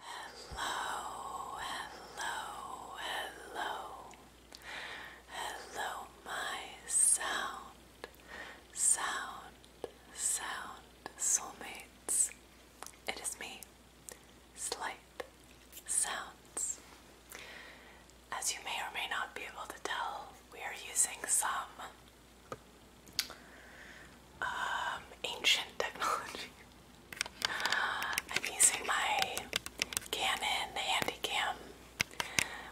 Hello, hello, hello, hello, my sound, sound, sound soulmates. It is me, Slight Sounds. As you may or may not be able to tell, we are using some um, ancient technology. I'm using my Canon Handycam,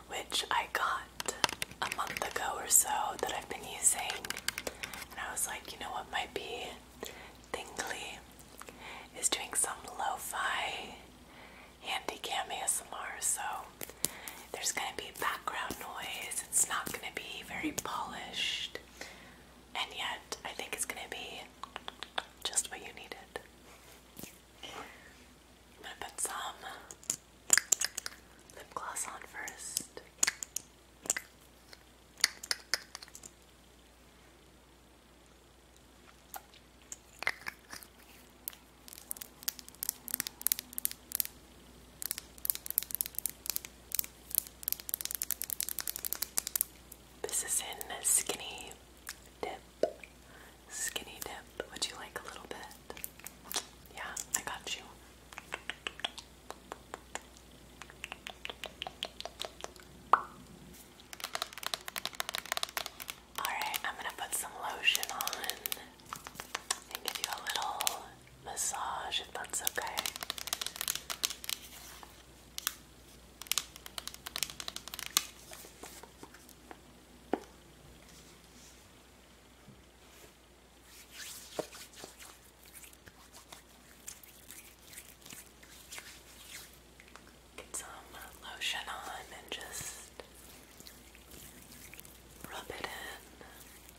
which I got a month ago or so that I've been using, and I was like, you know what might be tingly is doing some lo-fi handycam ASMR, so there's gonna be background noise. It's not gonna be very polished and yet I think it's gonna be just what you needed. gonna put some lip gloss on first. This is in skinny dip. Skinny dip. Would you like a little bit? Yeah, I got you. Alright, I'm gonna put some lotion on and give you a little massage if that's okay. Get some lotion on and just rub it in.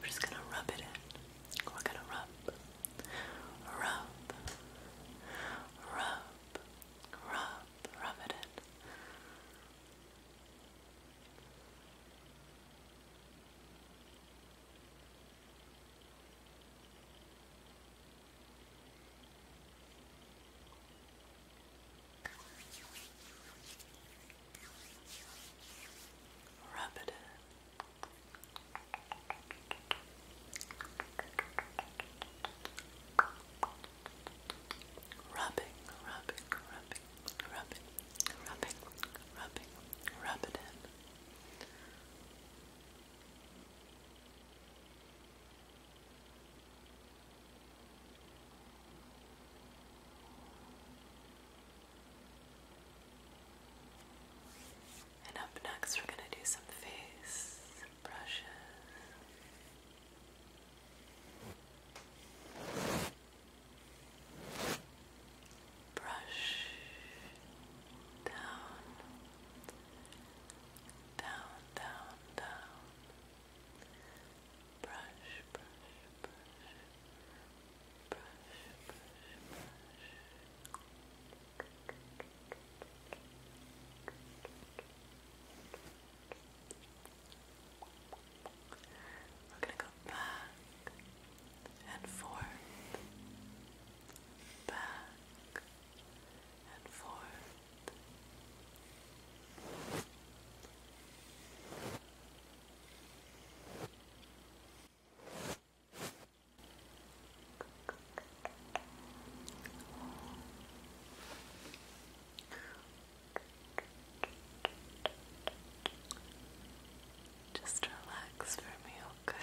We're just gonna rub it in. We're gonna rub, rub, rub, rub, rub it in. Rub it in. Rubbing, rubbing, rubbing, rubbing, rubbing, rubbing, rub it in. And up next, we're going to do some face brushes. Brush down down, down, down. Brush, brush, brush, brush, brush, brush. We're going to go back and forth, back and four. Just relax for me, okay?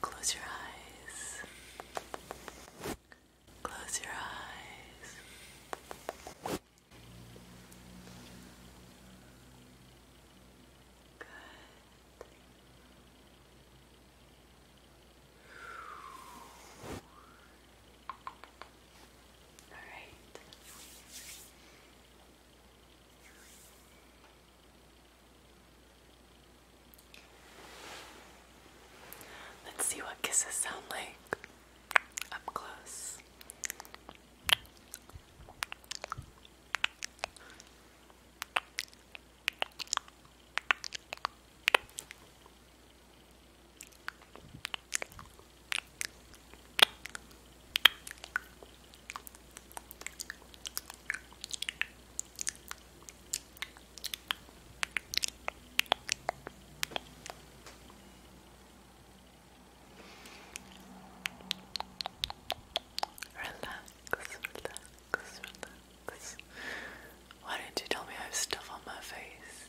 Close your eyes. Close your eyes. Good. All right. Let's see what kisses sound like up close. Relax, relax, relax. Why don't you tell me I have stuff on my face?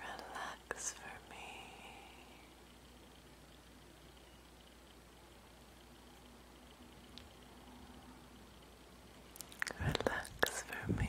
Relax for me. Relax for me.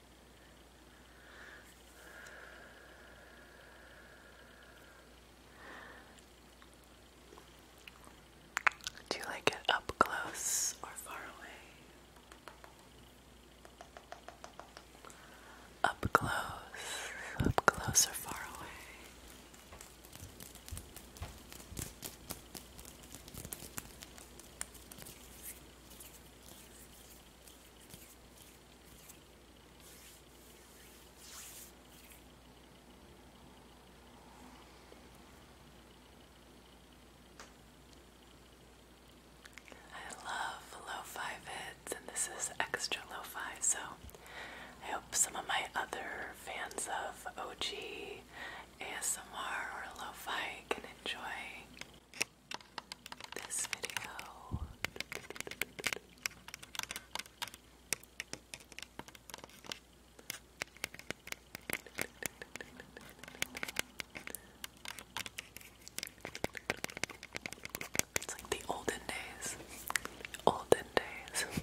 Do you like it up close or far away? Up close, up close or far away? I love low five vids, and this is extra low five. so I hope some of my other fans of OG ASMR or lo-fi can enjoy this video. It's like the olden days. Olden days.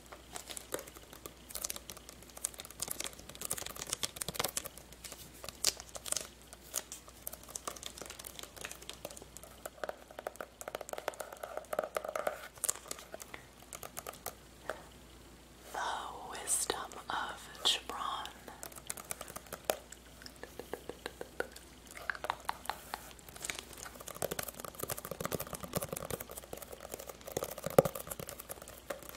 The Wisdom of Gibran.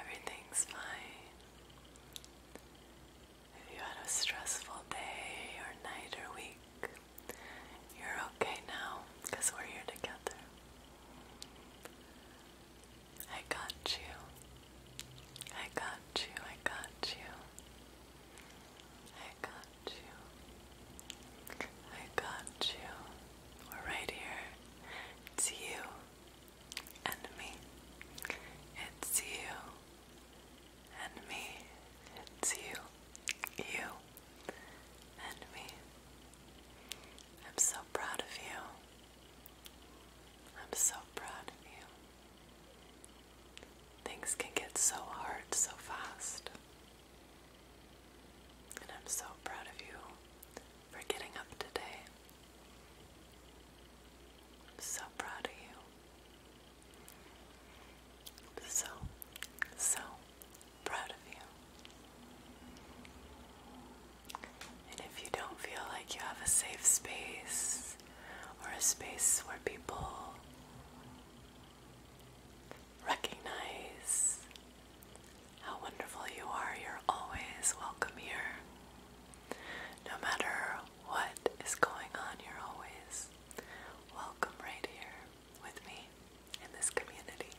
Everything's fine. If you had a stressful day or night or week, you're okay now because we're here together. I got you. I got you. I got you. I got you. I got you. We're right here. It's you and me. It's you and me. It's you. You and me. I'm so proud of you. I'm so proud of you. Things can get so hard so fast. And I'm so proud of you for getting up today. so proud of you. So, so proud of you. And if you don't feel like you have a safe space or a space where people recognize how wonderful you are. You're always welcome here. No matter what is going on, you're always welcome right here with me in this community.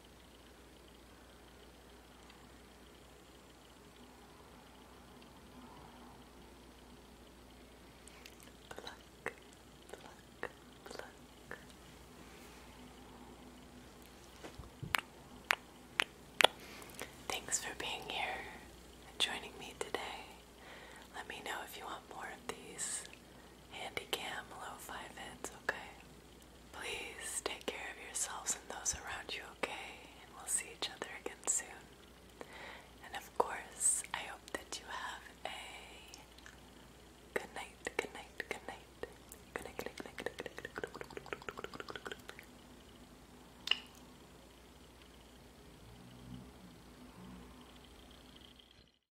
Pluck, pluck, pluck. Thanks for being here and joining me today. Let me know if you want more of these. Handycam low five hits, okay? Please take care of yourselves and those around you, okay? And we'll see each other again soon. And of course, I hope that you have a good night. Good night, good night, good night, good night, good night, good night, good night.